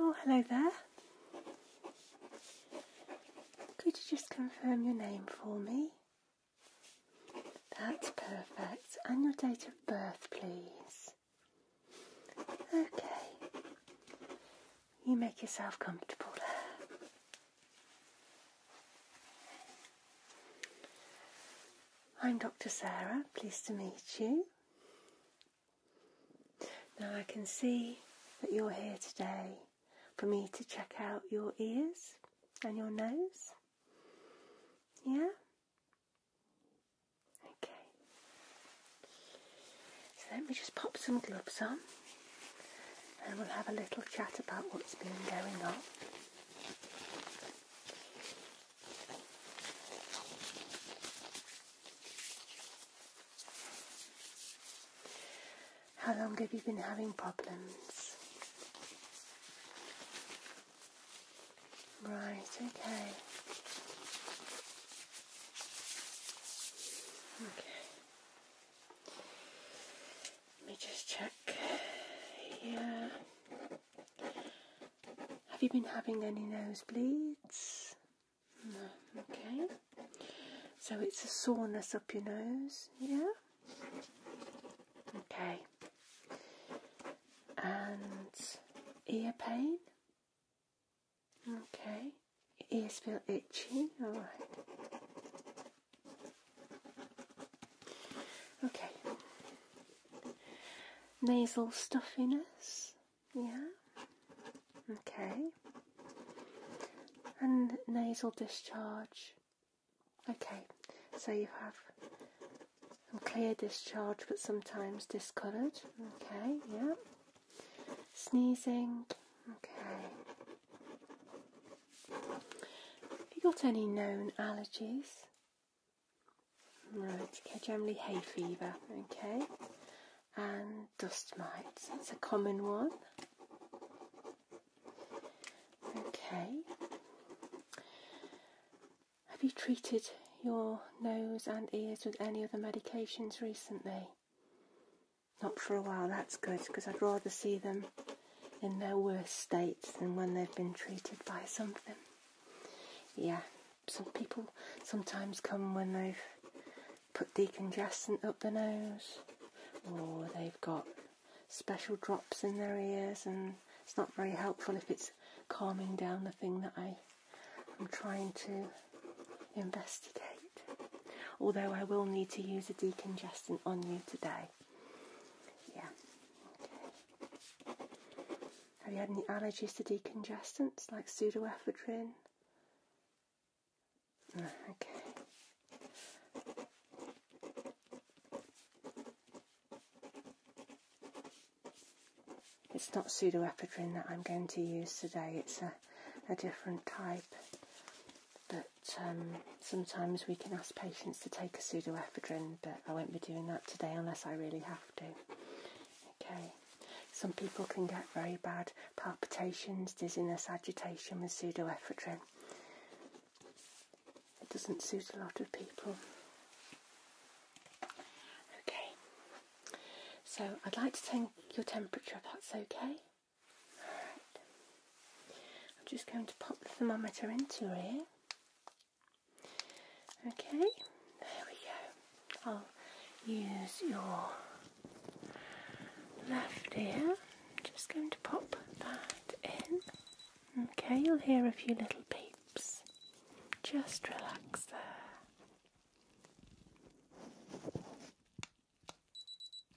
Oh, hello there. Could you just confirm your name for me? That's perfect. And your date of birth, please. Okay. You make yourself comfortable I'm Dr. Sarah, pleased to meet you. Now I can see that you're here today for me to check out your ears and your nose? Yeah? Okay. So let me just pop some gloves on and we'll have a little chat about what's been going on. How long have you been having problems? Right, okay. Okay. Let me just check here. Have you been having any nosebleeds? No, okay. So it's a soreness up your nose, yeah? Okay. And ear pain? Okay. ears feel itchy? Alright. Okay. Nasal stuffiness? Yeah. Okay. And nasal discharge? Okay, so you have some clear discharge but sometimes discoloured. Okay, yeah. Sneezing. Okay. Have you got any known allergies? Right. it's generally hay fever. Okay. And dust mites. It's a common one. Okay. Have you treated your nose and ears with any other medications recently? Not for a while, that's good because I'd rather see them in their worst state than when they've been treated by something. Yeah, some people sometimes come when they've put decongestant up the nose or they've got special drops in their ears, and it's not very helpful if it's calming down the thing that I am trying to investigate. Although I will need to use a decongestant on you today. Yeah. Have you had any allergies to decongestants like pseudoephedrine? It's not pseudoephedrine that I'm going to use today, it's a, a different type. But um, sometimes we can ask patients to take a pseudoephedrine, but I won't be doing that today unless I really have to. Okay. Some people can get very bad palpitations, dizziness, agitation with pseudoephedrine. It doesn't suit a lot of people. Okay, so I'd like to take your temperature if that's okay. I'm just going to pop the thermometer into your ear. Okay, there we go. I'll use your left ear. I'm just going to pop that in. Okay, you'll hear a few little beeps. Just relax there.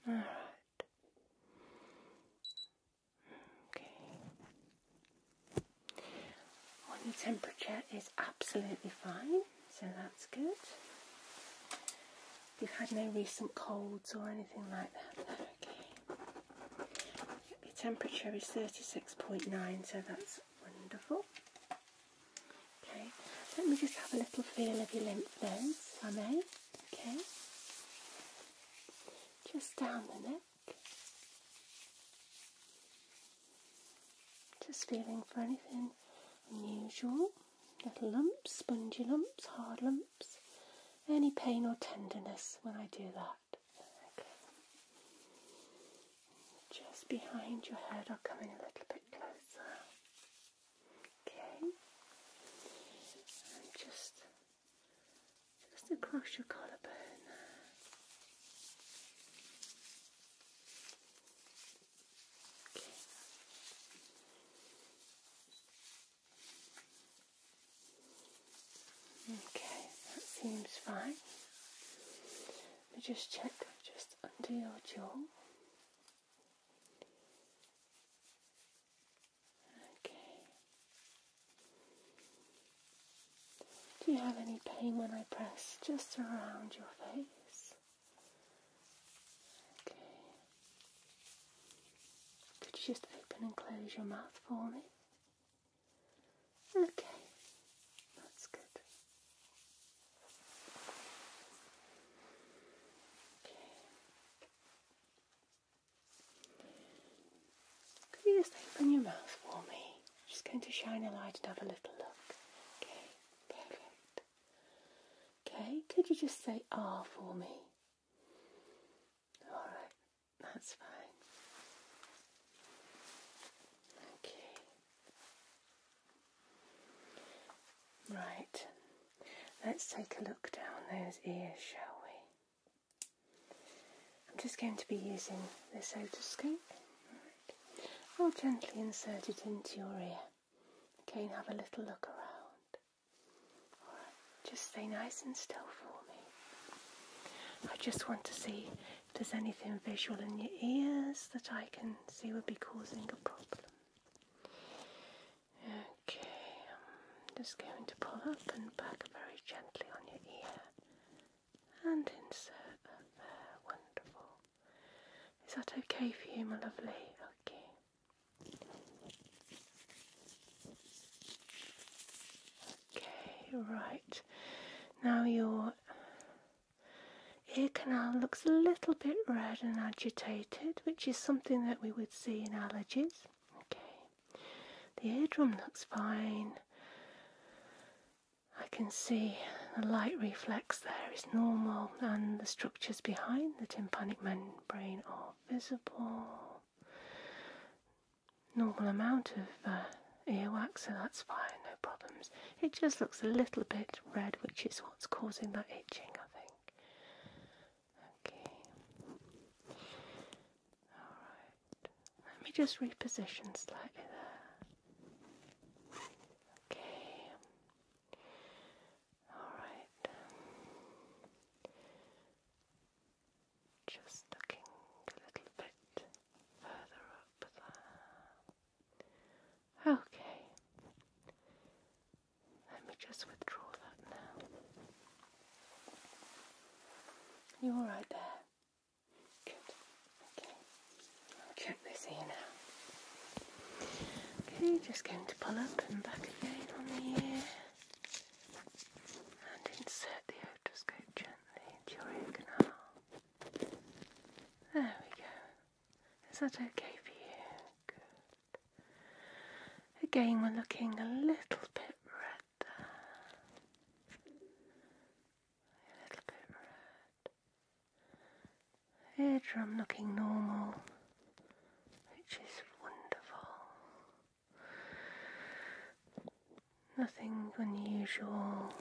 Alright. Okay. Well, temperature is absolutely fine, so that's good you've had no recent colds or anything like that. Your temperature is 36.9, so that's wonderful. Okay, let me just have a little feel of your lymph nodes, if I may. Okay. Just down the neck. Just feeling for anything unusual. Little lumps, spongy lumps, hard lumps any pain or tenderness when I do that. Okay. Just behind your head, I'll come in a little bit closer. Okay. And just, just across your collarbone. Okay. Okay, that seems fine. Let me just check just under your jaw. Okay. Do you have any pain when I press just around your face? Okay. Could you just open and close your mouth for me? Okay, that's good. Okay. Could you just open your mouth for me? i just going to shine a light and have a little look. Okay, perfect. Okay, could you just say R ah, for me? Alright, that's fine. Okay. Right, let's take a look down those ears, shall we? I'm just going to be using this otoscope. I'll gently insert it into your ear. Again, have a little look around just stay nice and still for me. I just want to see if there's anything visual in your ears that I can see would be causing a problem. Okay, I'm just going to pull up and back very gently on your ear and insert Wonderful. Is that okay for you, my lovely? Okay. Okay, right. Now your ear canal looks a little bit red and agitated, which is something that we would see in allergies. Okay. The eardrum looks fine. I can see the light reflex there is normal and the structures behind the tympanic membrane are visible. Normal amount of uh, earwax, so that's fine, no problems. It just looks a little bit red, which is what's causing that itching, I think. Okay. Alright. Let me just reposition slightly there. Okay. Alright. Just looking a little bit further up there. Okay. Let me just withdraw that now. You alright there? Good. Okay. check this here now. Okay, just going to pull up and back again on the ear and insert the otoscope gently into your ear canal. There we go. Is that okay for you? Good. Again, we're looking a little bit red there. A little bit red. Eardrum looking normal which is wonderful. Nothing unusual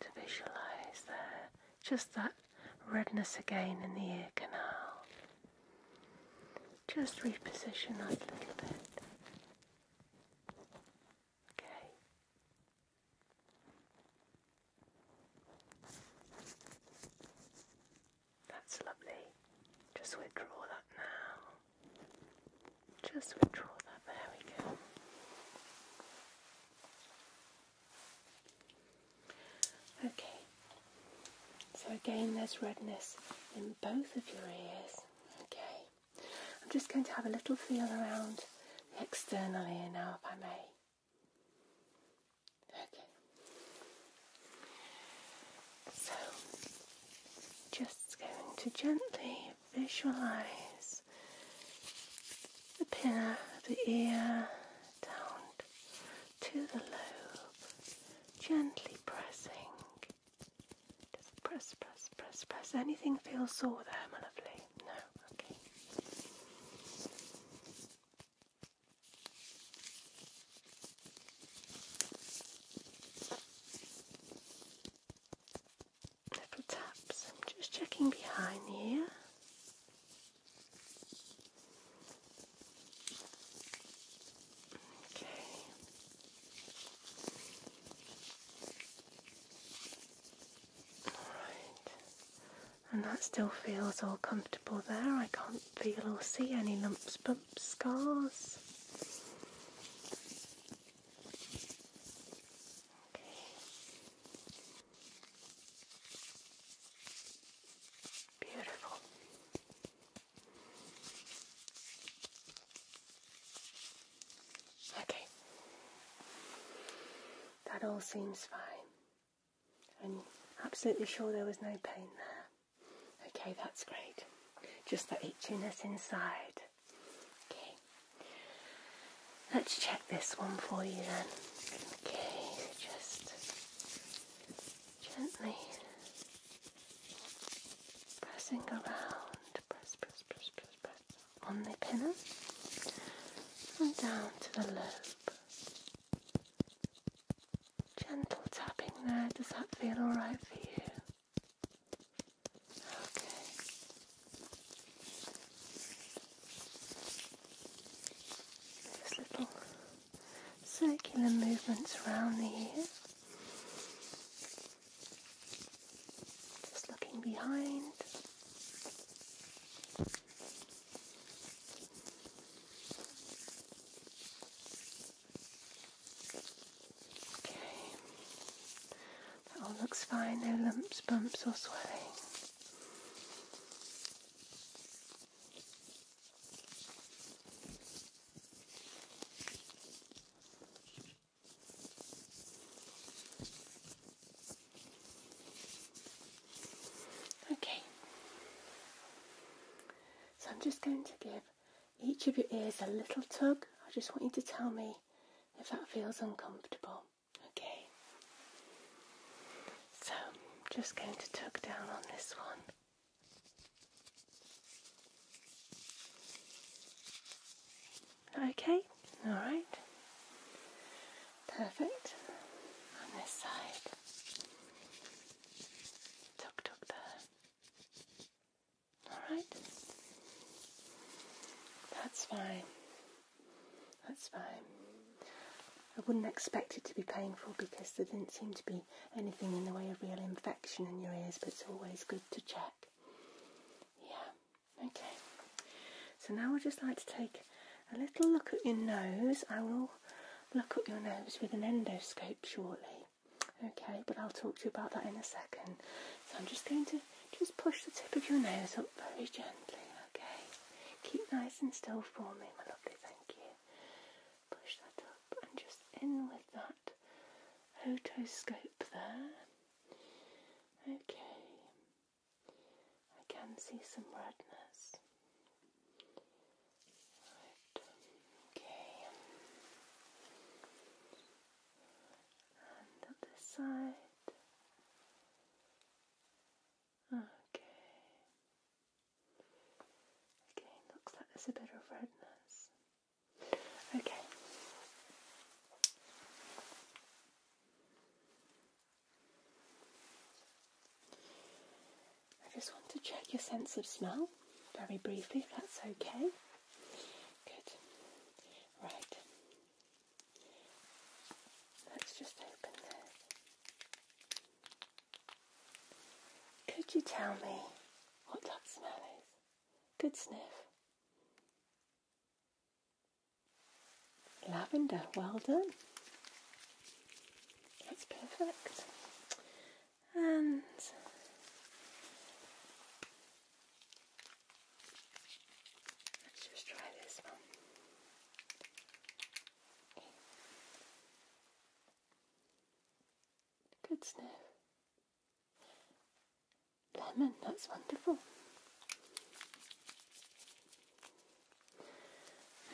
to visualize there, just that redness again in the ear canal. Just reposition that a little bit. Okay. That's lovely. Just withdraw that now. Just withdraw that. There we go. Okay. So again, there's redness in both of your ears. Okay. I'm just going to have a little feel around the external ear now, if I may. Okay. So, just going to gently visualize the pinna of the ear down to the lobe, gently pressing. Just press, press, press, press. Anything feels sore there, my lovely? No? Okay. Little taps. I'm just checking behind here. Okay. All right and that still feels all comfortable there. I can't feel or see any lumps, bumps, scars. Okay. Beautiful. Okay. That all seems fine. I'm absolutely sure there was no pain there. Okay, that's great. Just that itchiness inside. Okay. Let's check this one for you then. Okay, just gently pressing around, press, press, press, press, on the pinna and down to the loop gentle tapping there. Does that feel alright for you? Okay. Just little circular movements around the ear. Just looking behind. Okay. That all looks fine, no lumps, bumps, or swelling. Okay. So I'm just going to give each of your ears a little tug. I just want you to tell me if that feels uncomfortable. Okay. So I'm just going to tug down on this one. Okay, all right. Perfect. On this side. Tuk tuk there. Alright. That's fine. That's fine. I wouldn't expect it to be painful because there didn't seem to be anything in the way of real infection in your ears, but it's always good to check. Yeah, okay. So now I'd just like to take a little look at your nose. I will look at your nose with an endoscope shortly. Okay, but I'll talk to you about that in a second. So I'm just going to just push the tip of your nose up very gently. Okay, keep nice and still for me, my lovely. Thank you. Push that up and just in with that otoscope there. Okay, I can see some redness. Okay. And the other side. Okay. Okay, looks like there's a bit of redness. Okay. I just want to check your sense of smell very briefly, if that's okay. Good. Right. Let's just open this. Could you tell me what that smell is? Good sniff. Lavender, well done. That's perfect. And let's just try this one. Good sniff. Lemon, that's wonderful.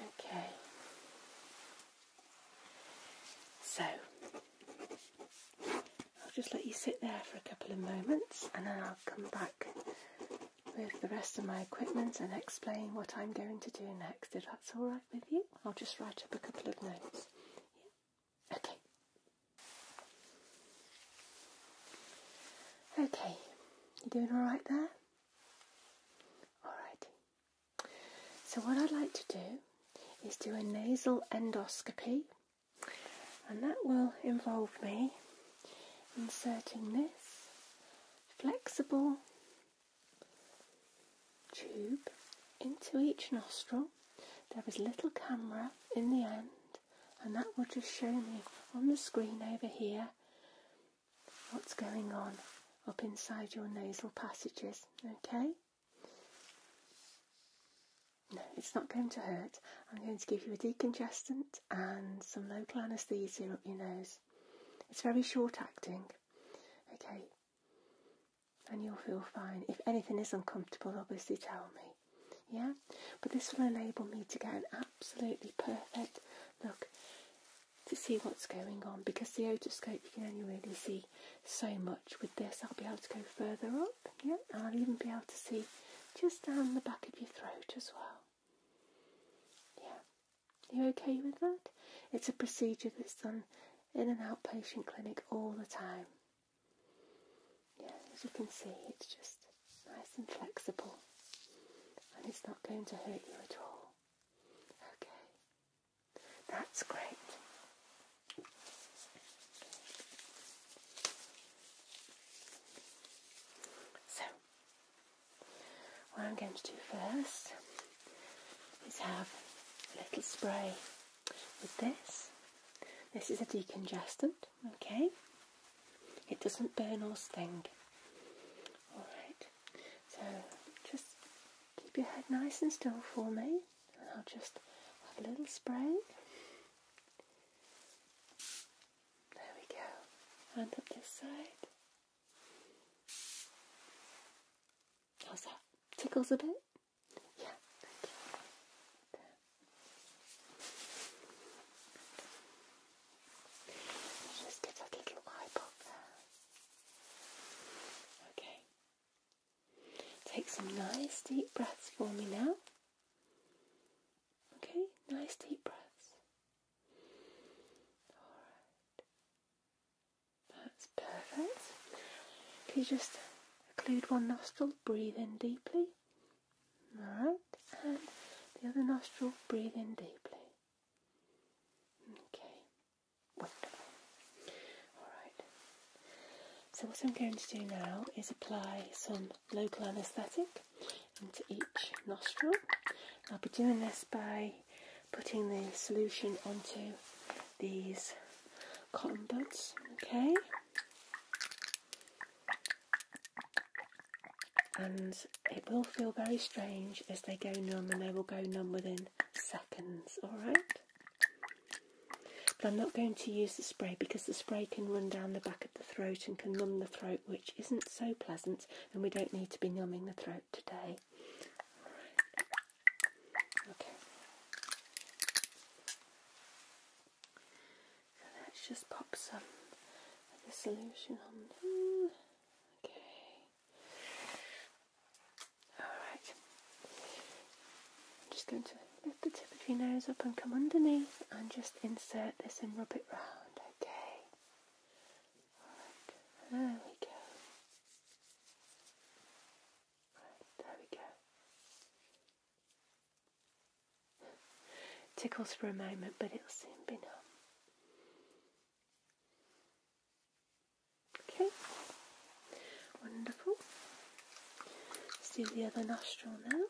Okay. So, I'll just let you sit there for a couple of moments and then I'll come back with the rest of my equipment and explain what I'm going to do next. If that's alright with you, I'll just write up a couple of notes. Okay. Okay, you doing alright there? Alrighty. So what I'd like to do is do a nasal endoscopy and that will involve me inserting this flexible tube into each nostril. There is a little camera in the end and that will just show me on the screen over here what's going on up inside your nasal passages, okay? No, it's not going to hurt. I'm going to give you a decongestant and some local anaesthesia up your nose. It's very short acting, okay? And you'll feel fine. If anything is uncomfortable, obviously tell me, yeah? But this will enable me to get an absolutely perfect look to see what's going on because the otoscope you can only really see so much. With this I'll be able to go further up, yeah, and I'll even be able to see just down the back of your throat as well. Yeah. You okay with that? It's a procedure that's done in an outpatient clinic all the time. Yeah, as you can see it's just nice and flexible and it's not going to hurt you at all. Okay, that's great. So, what I'm going to do first is have a little spray with this. This is a decongestant, okay? It doesn't burn or sting. Alright. So just keep your head nice and still for me, and I'll just have a little spray. There we go. And up this side. How's that? Tickles a bit? Yeah. Just get that little eye there. Okay. Take some nice deep breaths for me now. Okay, nice deep breaths. Alright. That's perfect. Can you just occlude one nostril, breathe in deeply. Alright, and the other nostril, breathe in deeply. Okay, Alright. So what I'm going to do now is apply some local anaesthetic into each nostril. I'll be doing this by putting the solution onto these cotton buds, okay? And it will feel very strange as they go numb and they will go numb within seconds, alright? But I'm not going to use the spray because the spray can run down the back of the throat and can numb the throat, which isn't so pleasant, and we don't need to be numbing the throat today. Okay. So let's just pop some of the solution on. Okay. Alright. I'm just going to lift the tip of your nose up and come underneath and just insert this and rub it round, okay? Alright, there we go. there we go. Tickles for a moment, but it'll soon be numb. Okay, wonderful. do the other nostril now.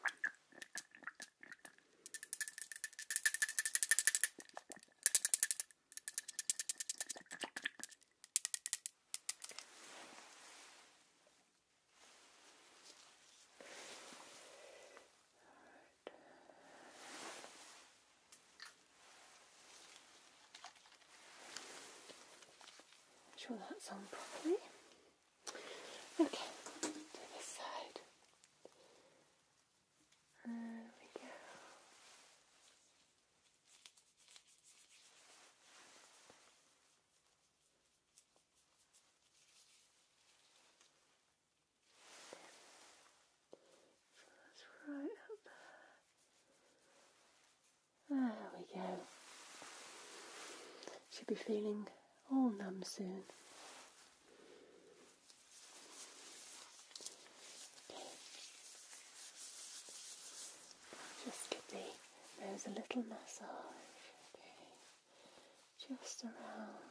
Make sure that's on properly. Okay, this side. There we go. So that's right up there. There we go. Should be feeling all numb soon. just give me nose a little massage. Just around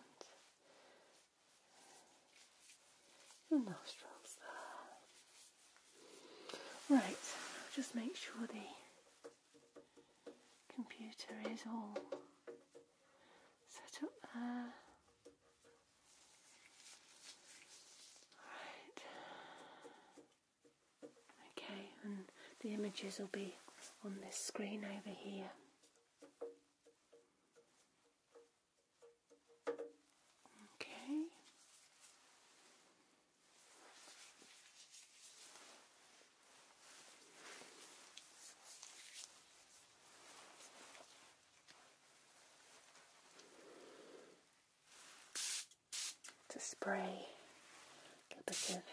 your nostrils there. Right, just make sure the computer is all set up there. Alright. Okay, and the images will be on this screen over here. Okay. To spray a bit of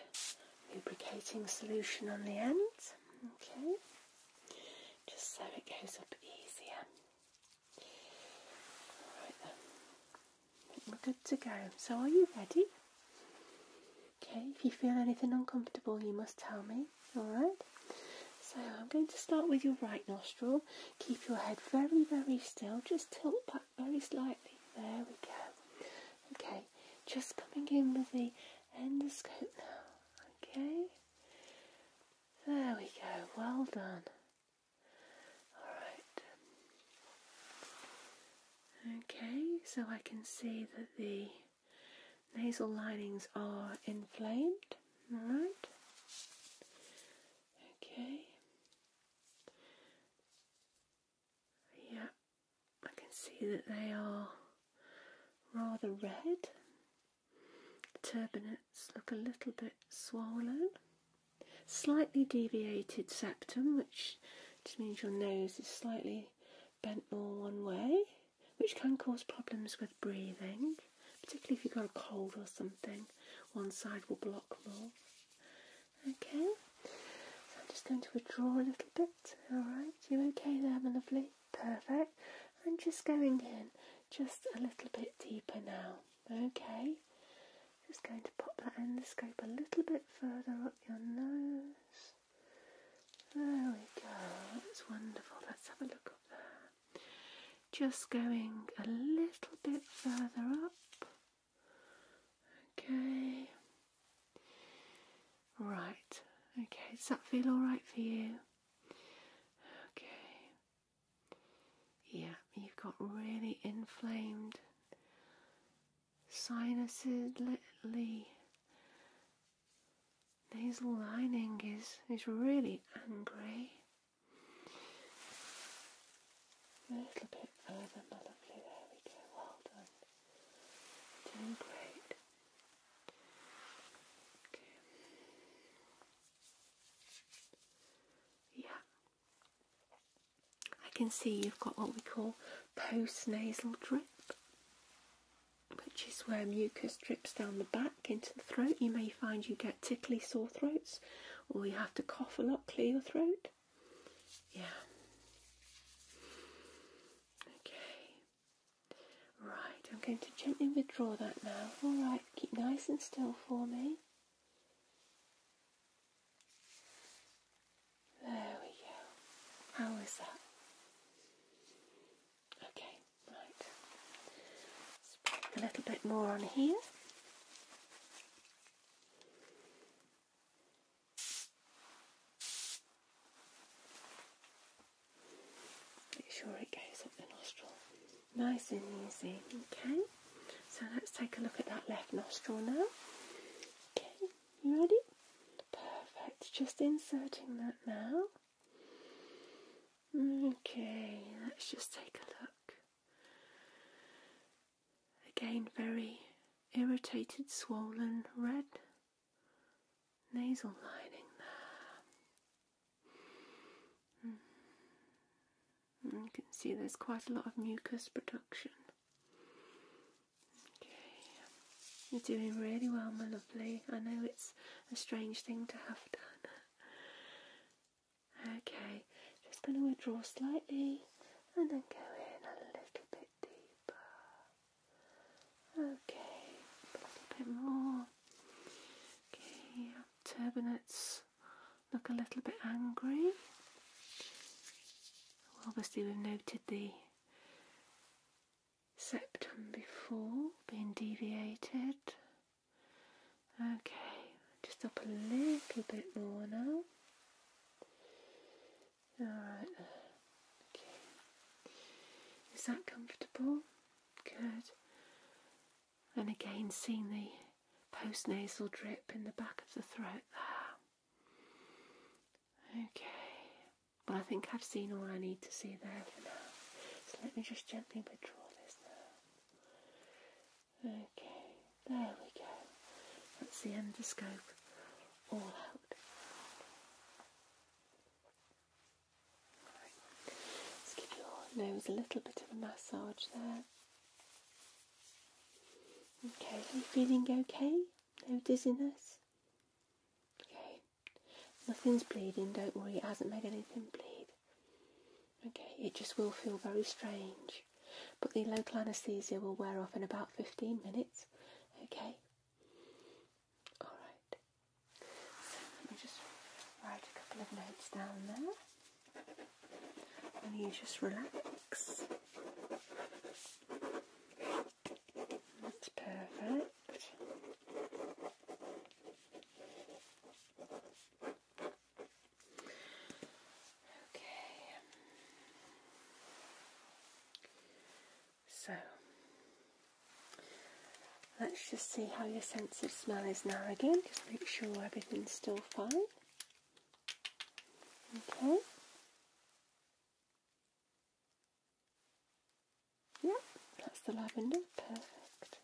lubricating solution on the end. Okay just so it goes up easier. Alright then, we're good to go. So are you ready? Okay, if you feel anything uncomfortable you must tell me, alright? So I'm going to start with your right nostril. Keep your head very, very still. Just tilt back very slightly. There we go. Okay, just coming in with the endoscope now. Okay, there we go, well done. Alright. Okay, so I can see that the nasal linings are inflamed. Alright. Okay. Yeah, I can see that they are rather red. The look a little bit swollen. Slightly deviated septum, which just means your nose is slightly bent more one way, which can cause problems with breathing, particularly if you've got a cold or something. One side will block more. Okay, so I'm just going to withdraw a little bit. Alright, you okay there, my lovely? Perfect. I'm just going in just a little bit deeper now. Okay, just going to pop that endoscope a little bit further up your nose. There we go, that's wonderful. Let's have a look up there. Just going a little bit further up. Okay, right. Okay, does that feel alright for you? Okay. Yeah, you've got really inflamed sinuses, literally. Nasal lining is is really angry. A little bit further, my lovely. There we go. Well done. Doing great. Yeah. I can see you've got what we call postnasal drip, which is where mucus drips down the back into the throat. You may find you get tickly sore throats, or you have to cough a lot, to clear your throat. Yeah. Okay. Right, I'm going to gently withdraw that now. Alright, keep nice and still for me. There we go. How is that? Okay, right. a little bit more on here. Make sure it goes up the nostril. Nice and easy. Okay. So let's take a look at that left nostril now. Okay, you ready? Perfect. Just inserting that now. Okay, let's just take a look. Again, very irritated, swollen, red nasal lining there. Hmm. You can see there's quite a lot of mucus production. you're doing really well, my lovely. I know it's a strange thing to have done. Okay, just going to withdraw slightly and then go in a little bit deeper. Okay, a little bit more. Okay, turbinates look a little bit angry. Well, obviously, we've noted the septum before being deviated. Okay, just up a little bit more now. Alright, okay. Is that comfortable? Good. And again, seeing the postnasal drip in the back of the throat there. Okay. Well, I think I've seen all I need to see there for now. So let me just gently withdraw this Okay. There we go. That's the endoscope all out. Let's give your nose a little bit of a massage there. Okay, are feeling okay? No dizziness? Okay. Nothing's bleeding, don't worry, it hasn't made anything bleed. Okay, it just will feel very strange. But the local anaesthesia will wear off in about 15 minutes. Okay. Alright. let me just write a couple of notes down there. And you just relax. That's perfect. Okay. So Let's just see how your sense of smell is now again. Just make sure everything's still fine. Okay. Yep, that's the lavender. Perfect.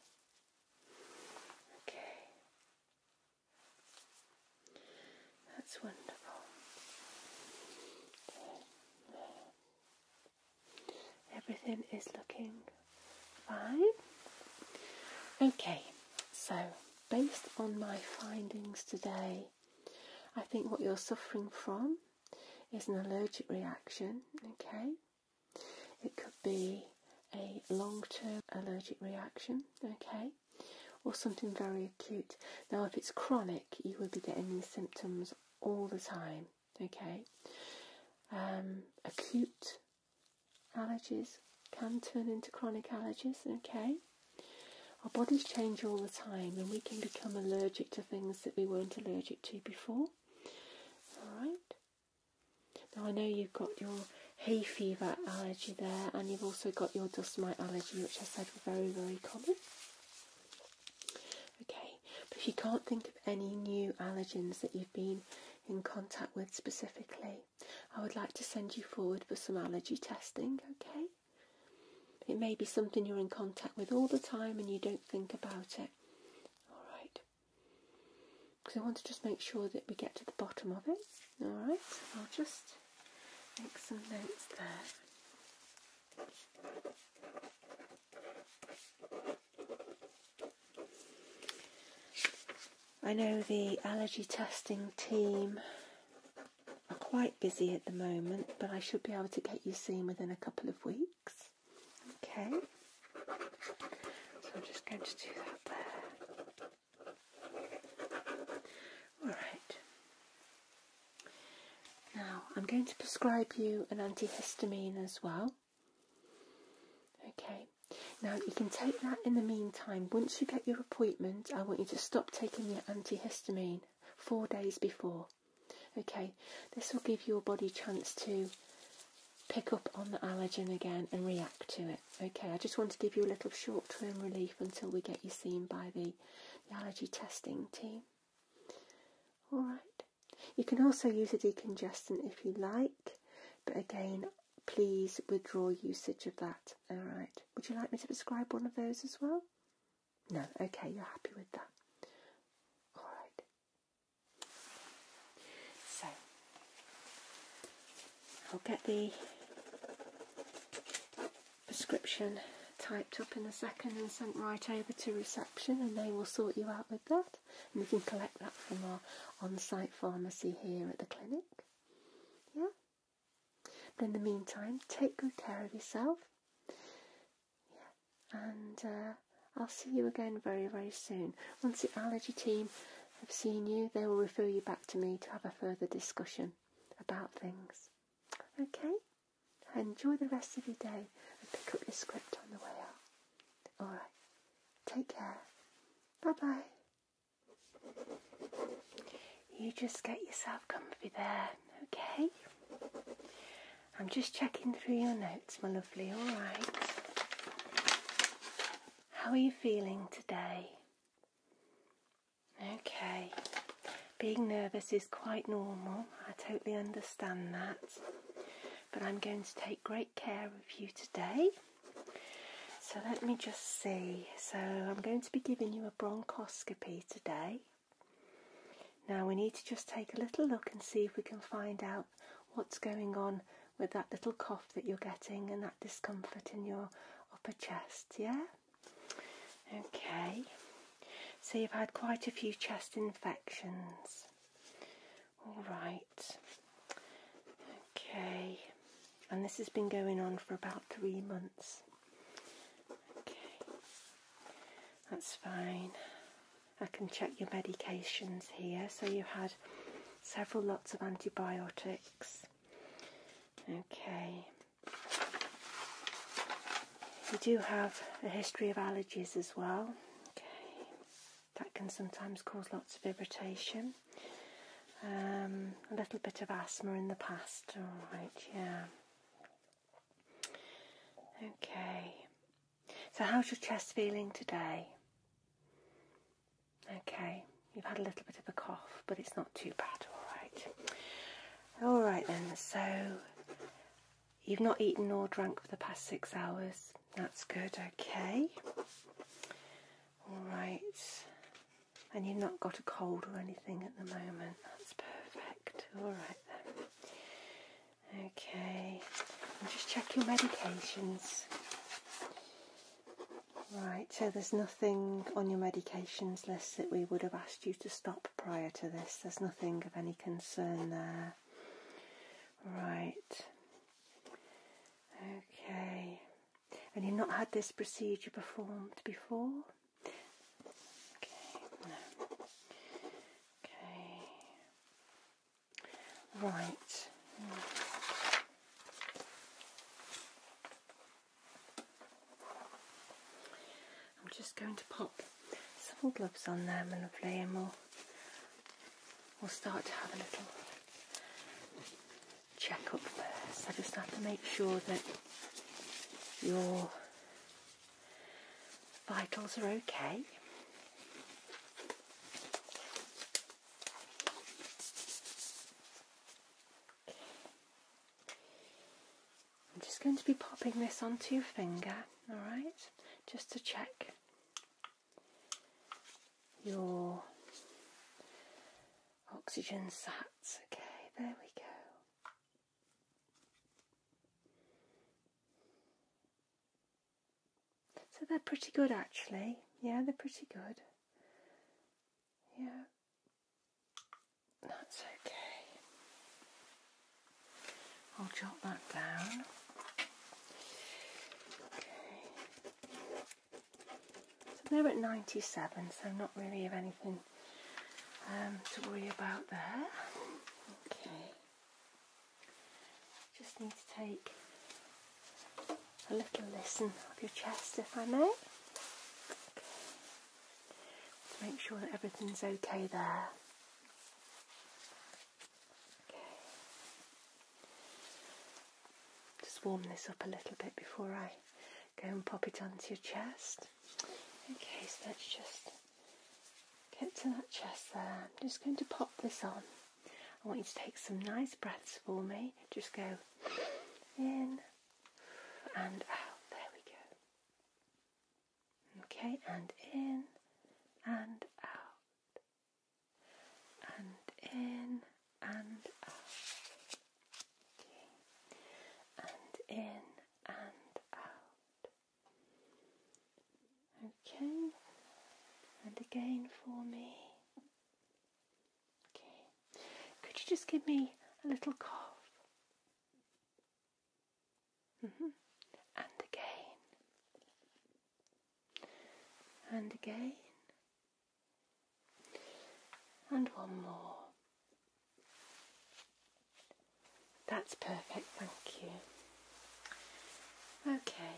Okay. That's wonderful. Everything is looking fine. Okay, so based on my findings today, I think what you're suffering from is an allergic reaction, okay? It could be a long term allergic reaction, okay? Or something very acute. Now, if it's chronic, you will be getting these symptoms all the time. Okay, um, acute allergies can turn into chronic allergies. Okay, our bodies change all the time, and we can become allergic to things that we weren't allergic to before. All right. Now I know you've got your hay fever allergy there, and you've also got your dust mite allergy, which I said were very very common. Okay, but if you can't think of any new allergens that you've been in contact with specifically, I would like to send you forward for some allergy testing, okay? It may be something you're in contact with all the time and you don't think about it. Alright. Because I want to just make sure that we get to the bottom of it. Alright, I'll just make some notes there. I know the allergy testing team are quite busy at the moment, but I should be able to get you seen within a couple of weeks. Okay? So I'm just going to do that there. Alright. Now, I'm going to prescribe you an antihistamine as well. Okay, now you can take that in the meantime. Once you get your appointment, I want you to stop taking your antihistamine four days before. Okay, this will give your body chance to pick up on the allergen again and react to it. Okay, I just want to give you a little short term relief until we get you seen by the allergy testing team. Alright, you can also use a decongestant if you like, but again, please withdraw usage of that. Alright, would you like me to prescribe one of those as well? No, okay, you're happy with that. Alright, so I'll get the prescription typed up in a second and sent right over to reception and they will sort you out with that. And we can collect that from our on site pharmacy here at the clinic. Yeah? But in the meantime, take good care of yourself. Yeah. And uh, I'll see you again very, very soon. Once the allergy team have seen you, they will refer you back to me to have a further discussion about things. Okay? Enjoy the rest of your day and pick up your script on the way out. Alright, take care. Bye bye. You just get yourself comfy there, okay? I'm just checking through your notes, my lovely, alright. How are you feeling today? Okay. Being nervous is quite normal. I totally understand that but I'm going to take great care of you today. So let me just see. So I'm going to be giving you a bronchoscopy today. Now we need to just take a little look and see if we can find out what's going on with that little cough that you're getting and that discomfort in your upper chest, yeah? Okay. So you've had quite a few chest infections. All right. Okay. And this has been going on for about three months. Okay. That's fine. I can check your medications here. So you had several lots of antibiotics. Okay. You do have a history of allergies as well. Okay. That can sometimes cause lots of irritation. Um, a little bit of asthma in the past, alright, yeah. Okay. So, how's your chest feeling today? Okay, you've had a little bit of a cough, but it's not too bad, alright. Alright then, so You've not eaten or drunk for the past six hours. That's good, okay. Alright. And you've not got a cold or anything at the moment. That's perfect. Alright then. Okay. And just check your medications. Right, so there's nothing on your medications list that we would have asked you to stop prior to this. There's nothing of any concern there. Right. Okay. And you've not had this procedure performed before? Okay. No. Okay. Right. I'm just going to pop some gloves on them and lovely and we'll, we'll start to have a little check up first. I just have to make sure that your vitals are okay. I'm just going to be popping this onto your finger, alright, just to check your oxygen sats. Okay, there we go. So they're pretty good actually. Yeah, they're pretty good. Yeah. That's okay. I'll jot that down. Okay. So they're at 97, so not really of anything um, to worry about there. Okay. Just need to take a little listen of your chest, if I may. To make sure that everything's okay there. Just warm this up a little bit before I go and pop it onto your chest. Okay, so let's just get to that chest there. I'm just going to pop this on. I want you to take some nice breaths for me. Just go in and out. There we go. Okay, and in and out, and in and out, okay. and in and out. Okay, and again for me. Okay, could you just give me a little cough? Mm-hmm. And again. And again. And one more. That's perfect, thank you. Okay.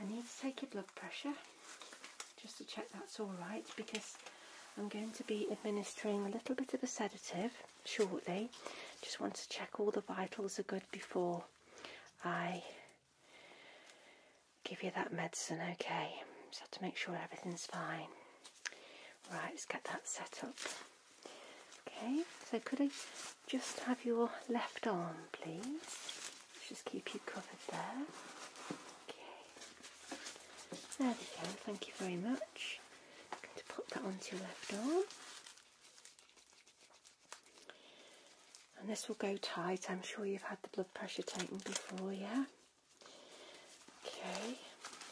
I need to take your blood pressure just to check that's all right because I'm going to be administering a little bit of a sedative shortly. Just want to check all the vitals are good before I give you that medicine, okay? Just have to make sure everything's fine. Right, let's get that set up. Okay, so could I just have your left arm, please? Let's just keep you covered there. Okay. There we go, thank you very much going to put that onto your left arm. And this will go tight. I'm sure you've had the blood pressure taken before, yeah? Okay,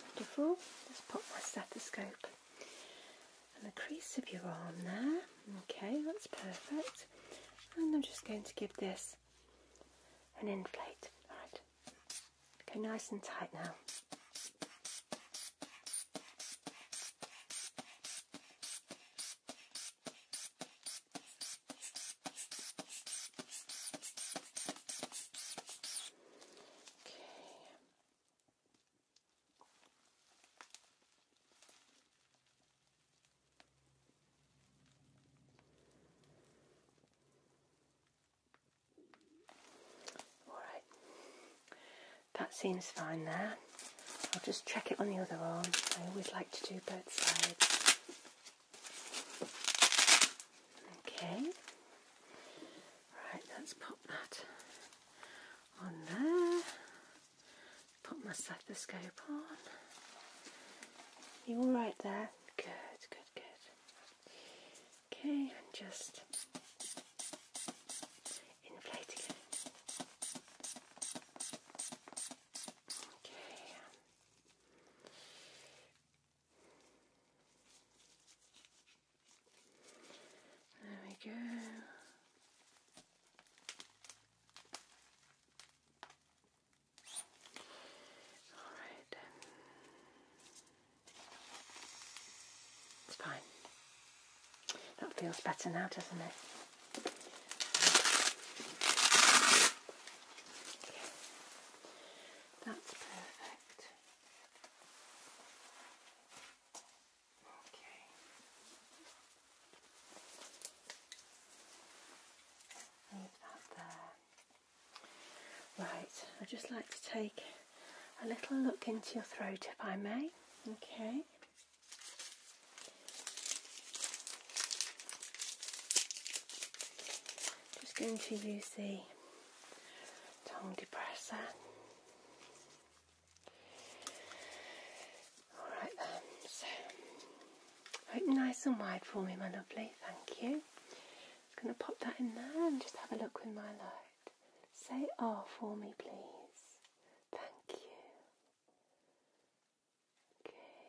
wonderful. Let's pop my stethoscope and the crease of your arm there. Okay, that's perfect. And I'm just going to give this an inflate. All right, Okay, nice and tight now. Okay. Alright, that seems fine there. I'll just check it on the other arm. I always like to do both sides. Okay. Right, let's pop that on there. Put my stethoscope on. You all right there? Good, good, good. Okay, I'm just inflate again. Okay. There we go. All right. It's fine. That feels better now, doesn't it? That's perfect. Okay. Leave that there. Right, I'd just like to take a little look into your throat if I may. Okay. Just going to use the tongue depressor. Alright then, open nice and wide for me, my lovely, thank you going to pop that in there and just have a look with my light. Say R ah for me, please. Thank you. Okay.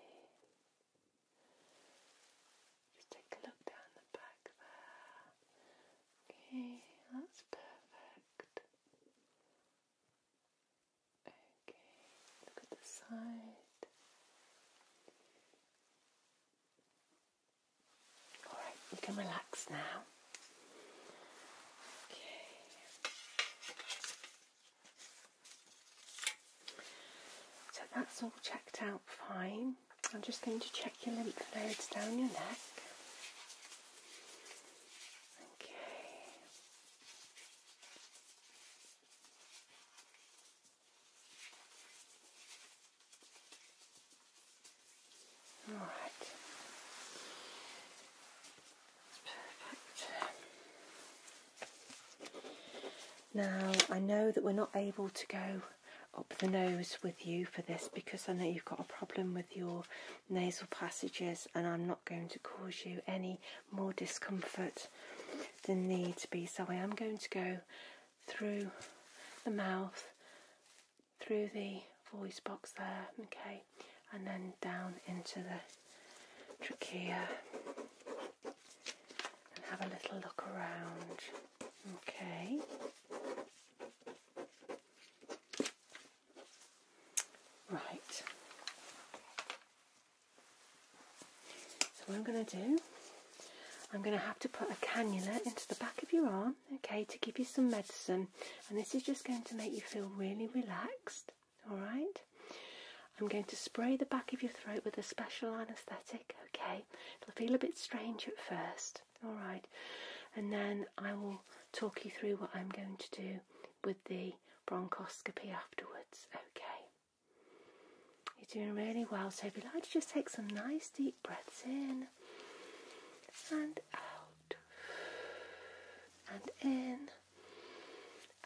Just take a look down the back there. Okay, that's perfect. Okay, look at the side. Alright, you can relax now. Okay. So that's all checked out fine. I'm just going to check your lymph nodes down your neck. Okay. All right. Perfect. Now, I know that we're not able to go up the nose with you for this because I know you've got a problem with your nasal passages and I'm not going to cause you any more discomfort than needs be. So I am going to go through the mouth, through the voice box there, okay, and then down into the trachea and have a little look around, okay. Right. So what I'm going to do I'm going to have to put a cannula into the back of your arm, okay, to give you some medicine. And this is just going to make you feel really relaxed, all right? I'm going to spray the back of your throat with a special anaesthetic, okay? It'll feel a bit strange at first, all right? And then I will talk you through what I'm going to do with the bronchoscopy afterwards, okay? You're doing really well, so if you'd like to just take some nice deep breaths in and out and in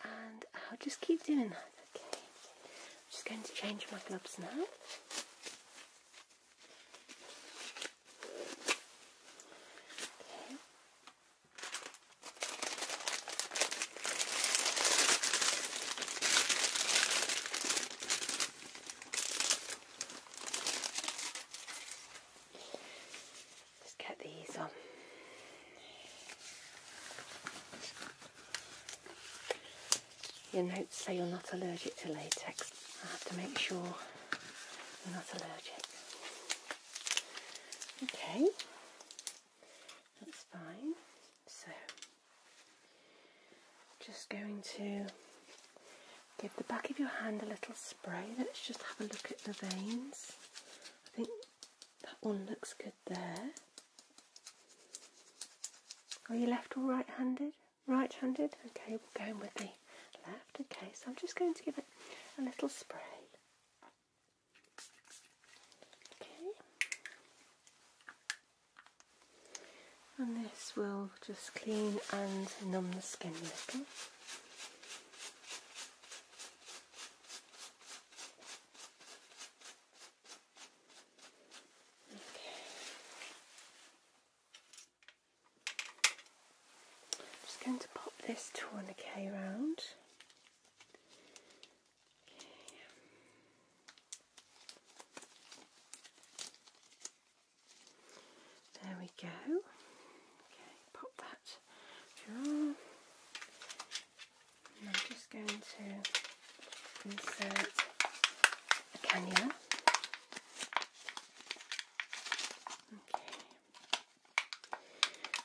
and I'll just keep doing that, okay? I'm just going to change my gloves now. Okay. Just get these on. Your notes say you're not allergic to latex. I have to make sure you're not allergic. Okay, that's fine. So just going to give the back of your hand a little spray. Let's just have a look at the veins. I think that one looks good there. Are you left or right handed? Right handed? Okay, we're going with the left. Okay, so I'm just going to give it a little spray. Okay. And this will just clean and numb the skin a little. I'm just going to pop this tourniquet round. Okay. There we go. Okay, pop that I'm just going to insert a cannula. Okay.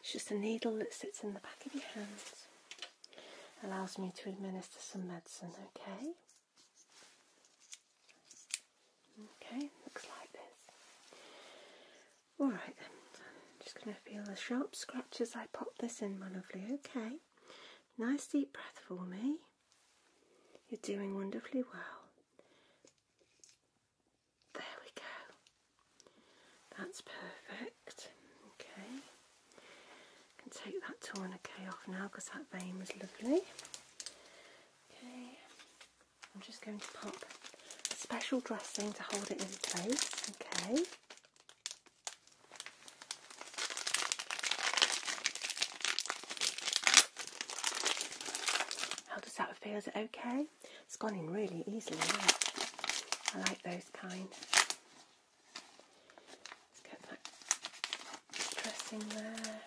It's just a needle that sits in the back of your hand. Allows me to administer some medicine, okay? Okay, looks like this. Alright I'm just going to feel the sharp scratch as I pop this in, my lovely. Okay, nice deep breath for me. You're doing wonderfully well. There we go. That's perfect. Okay. I can take that tourniquet off now because that vein was lovely. Okay, I'm just going to pop a special dressing to hold it in place. Okay. How does that feel? Is it okay? It's gone in really easily. I like those kind. Let's get that dressing there.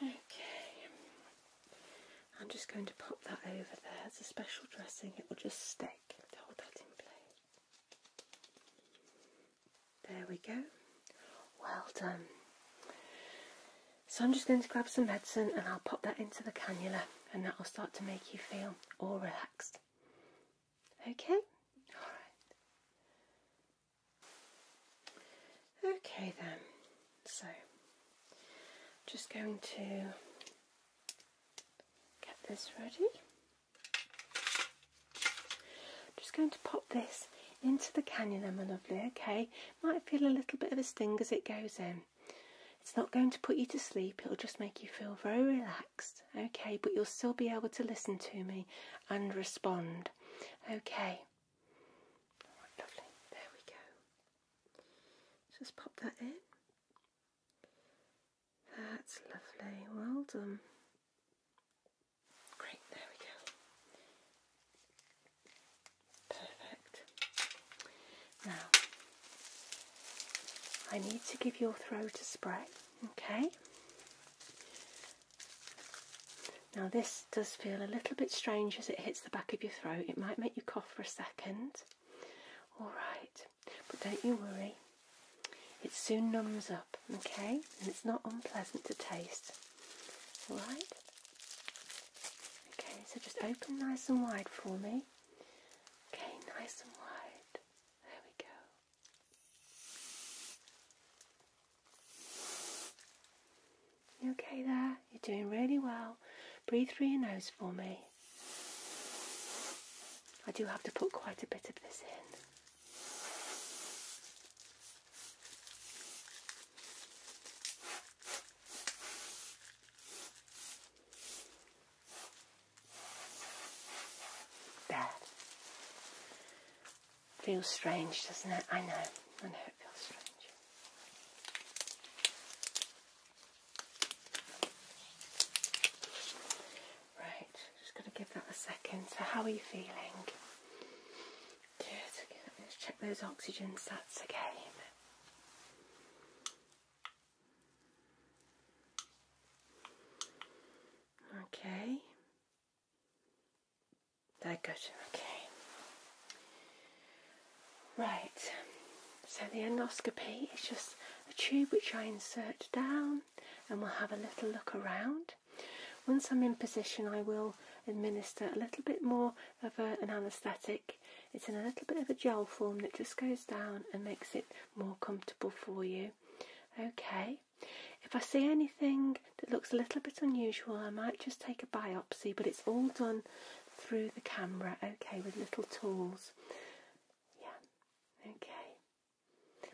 Okay, I'm just going to pop that over there. It's a special dressing, it will just stick to hold that in place. There we go. Well done. So I'm just going to grab some medicine and I'll pop that into the cannula and that will start to make you feel all relaxed. Okay? Alright. Okay then, so just going to get this ready. Just going to pop this into the cannula, my lovely, okay? Might feel a little bit of a sting as it goes in. It's not going to put you to sleep, it'll just make you feel very relaxed okay, but you'll still be able to listen to me and respond, okay. lovely, there we go. Just pop that in. That's lovely, well done. Great, there we go. Perfect. Now, I need to give your throat a spray, okay? Now this does feel a little bit strange as it hits the back of your throat. It might make you cough for a second. Alright, but don't you worry. It soon numbs up, okay? And it's not unpleasant to taste. Alright? Okay, so just open nice and wide for me. Okay, nice and wide. There we go okay there? You're doing really well. Breathe through your nose for me. I do have to put quite a bit of this in. There. Feels strange, doesn't it? I know, I know it feels strange. Right, just going to give that a second. So, how are you feeling? Good, Let's check those oxygen stats again. Okay, Digestion, okay. Right, so the endoscopy is just a tube which I insert down and we'll have a little look around. Once I'm in position, I will administer a little bit more of an anaesthetic. It's in a little bit of a gel form that just goes down and makes it more comfortable for you. Okay, if I see anything that looks a little bit unusual, I might just take a biopsy, but it's all done through the camera, okay, with little tools. Yeah, okay.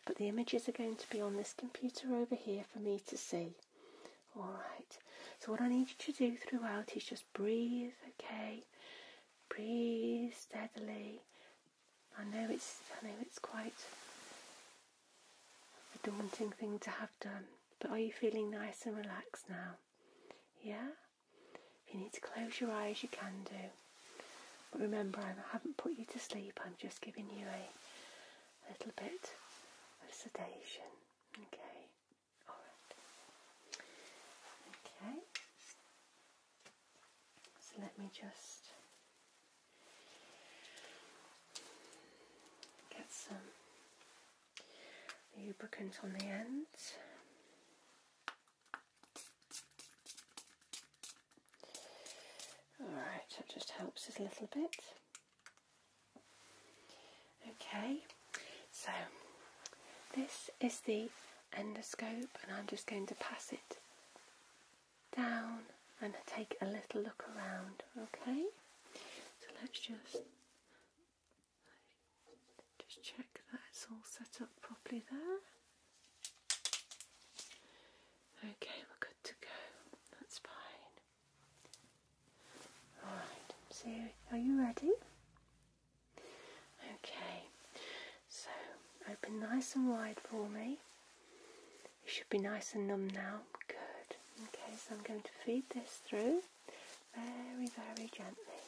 But the images are going to be on this computer over here for me to see. Alright, so what I need you to do throughout is just breathe, okay? Breathe steadily, I know it's I know it's quite a daunting thing to have done, but are you feeling nice and relaxed now? Yeah? If you need to close your eyes you can do. But remember I haven't put you to sleep, I'm just giving you a, little bit of sedation. Okay. Alright. Okay. So let me just get some lubricant on the end. Alright, that just helps us a little bit. Okay, so this is the endoscope, and I'm just going to pass it down and take a little look around, okay? So let's just just check that it's all set up properly there. Okay, we're good to go. That's fine. Alright, so are you ready? Okay, so open nice and wide for me. It should be nice and numb now. Good. Okay, so I'm going to feed this through very, very gently.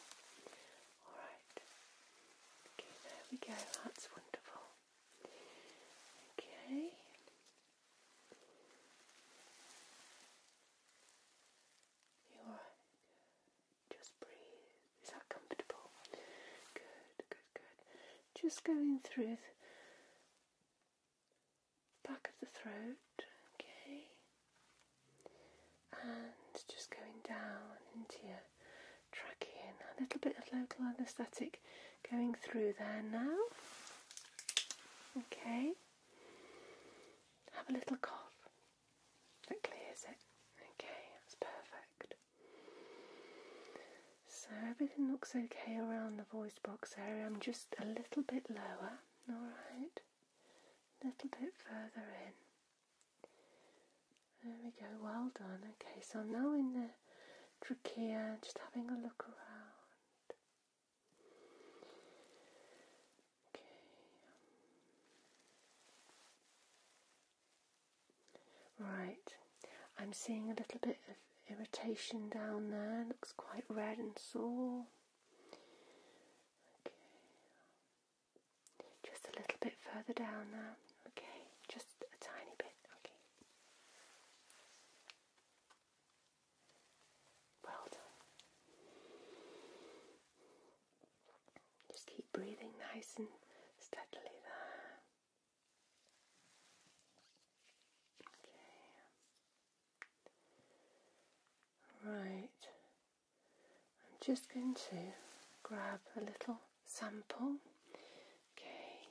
Alright. Okay, there we go. That's wonderful. Okay. You alright? Just breathe. Is that comfortable? Good, good, good just going through the back of the throat, okay, and just going down into your trachea. A little bit of local anaesthetic going through there now, okay. Have a little cough that clears it. Okay, that's perfect. So everything looks okay around the voice box area. I'm just a little bit lower, alright? A little bit further in. There we go, well done. Okay, so now in the trachea, just having a look around. Okay. Um, Right, I'm seeing a little bit of irritation down there, looks quite red and sore. Okay, just a little bit further down now. Okay, just a tiny bit. Okay. Well done. Just keep breathing nice and steadily there. Right. I'm just going to grab a little sample. Okay.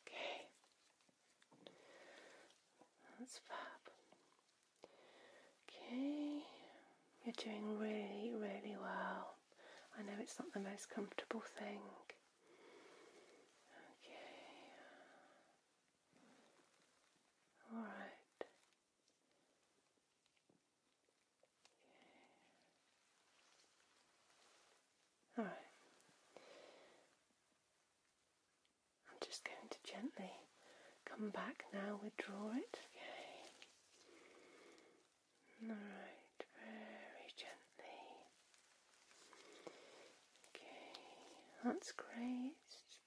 Okay. That's fab. Okay. You're doing really, really well. I know it's not the most comfortable thing. Okay. All right. All right. I'm just going to gently come back now, withdraw it. Okay. Alright, very gently. Okay, that's great.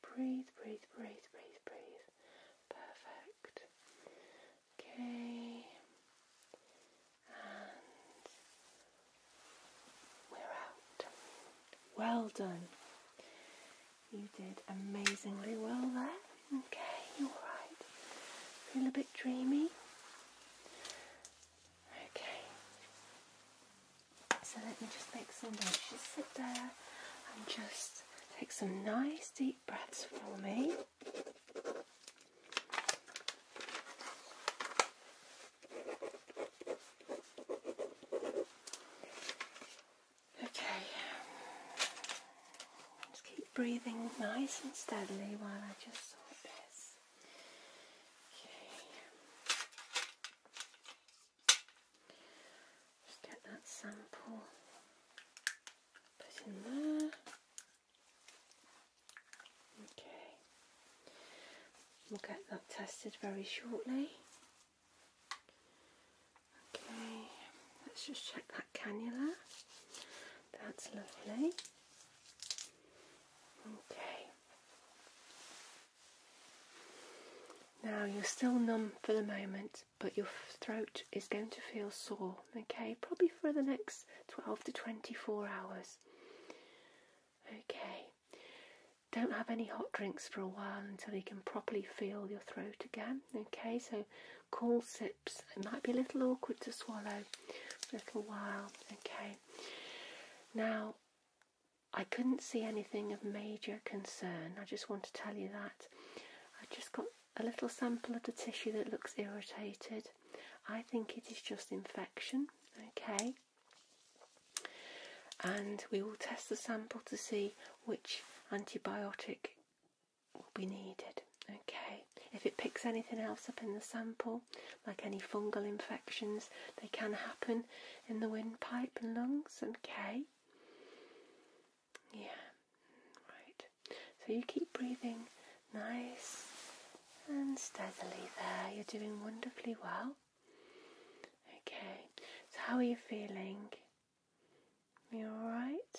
breathe, breathe, breathe, breathe, breathe. Perfect. Okay. And we're out. Well done. You did amazingly well there. Okay, you're right. Feel a bit dreamy. Okay. So let me just make some notes. Just sit there and just take some nice deep breaths for me. Okay breathing nice and steadily while I just sort this. Just get that sample put in there. Okay. We'll get that tested very shortly. Okay, let's just check that cannula. That's lovely. Okay. Now you're still numb for the moment, but your throat is going to feel sore, okay? Probably for the next 12 to 24 hours. Okay. Don't have any hot drinks for a while until you can properly feel your throat again, okay? So cool sips. It might be a little awkward to swallow for a little while. Okay. Now, I couldn't see anything of major concern. I just want to tell you that. I just got a little sample of the tissue that looks irritated. I think it is just infection. Okay. And we will test the sample to see which antibiotic will be needed. Okay, if it picks anything else up in the sample, like any fungal infections, they can happen in the windpipe and lungs. Okay, yeah, right. So you keep breathing nice and steadily there. You're doing wonderfully well. Okay, so how are you feeling? Are you alright?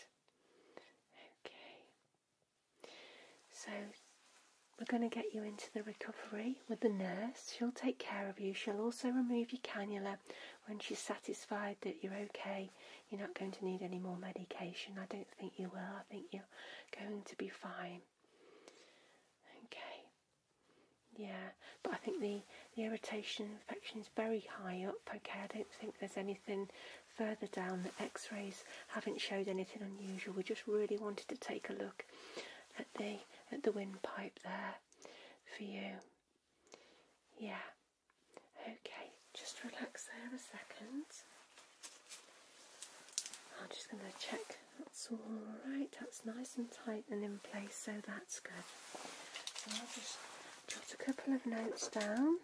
Okay. So we're going to get you into the recovery with the nurse. She'll take care of you. She'll also remove your cannula when she's satisfied that you're okay. You're not going to need any more medication. I don't think you will. I think you're going to be fine. Okay. Yeah, but I think the, the irritation infection is very high up. Okay, I don't think there's anything further down the x-rays haven't showed anything unusual we just really wanted to take a look at the at the windpipe there for you yeah okay just relax there a second I'm just going to check that's all right that's nice and tight and in place so that's good I'll just jot a couple of notes down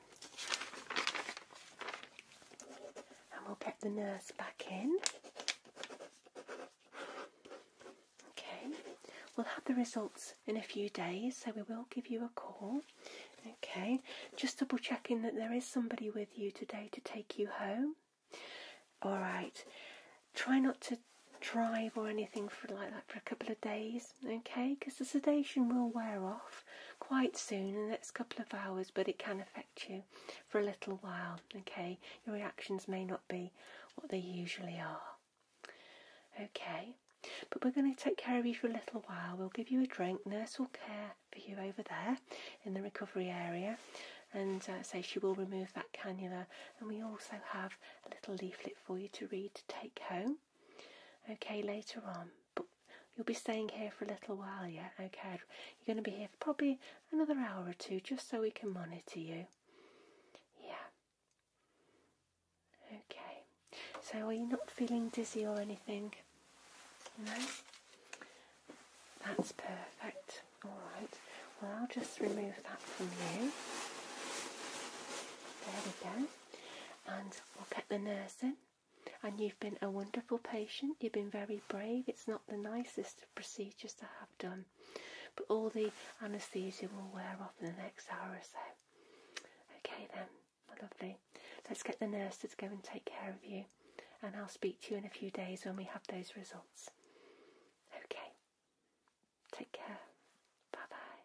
and we'll get the nurse back in. Okay, we'll have the results in a few days, so we will give you a call. Okay, just double checking that there is somebody with you today to take you home. All right, try not to drive or anything for like that for a couple of days okay? Because the sedation will wear off quite soon in the next couple of hours, but it can affect you for a little while, okay? Your reactions may not be what they usually are, okay? But we're going to take care of you for a little while. We'll give you a drink. Nurse will care for you over there in the recovery area and uh, say so she will remove that cannula. And we also have a little leaflet for you to read to take home. Okay, later on. But you'll be staying here for a little while yeah? okay? You're going to be here for probably another hour or two just so we can monitor you. Yeah. Okay. So are you not feeling dizzy or anything? No? That's perfect. Alright. Well, I'll just remove that from you. There we go. And we'll get the nurse in and you've been a wonderful patient, you've been very brave. It's not the nicest procedures to have done, but all the anaesthesia will wear off in the next hour or so. Okay, then, lovely. Let's get the nurse to go and take care of you, and I'll speak to you in a few days when we have those results. Okay, take care. Bye bye.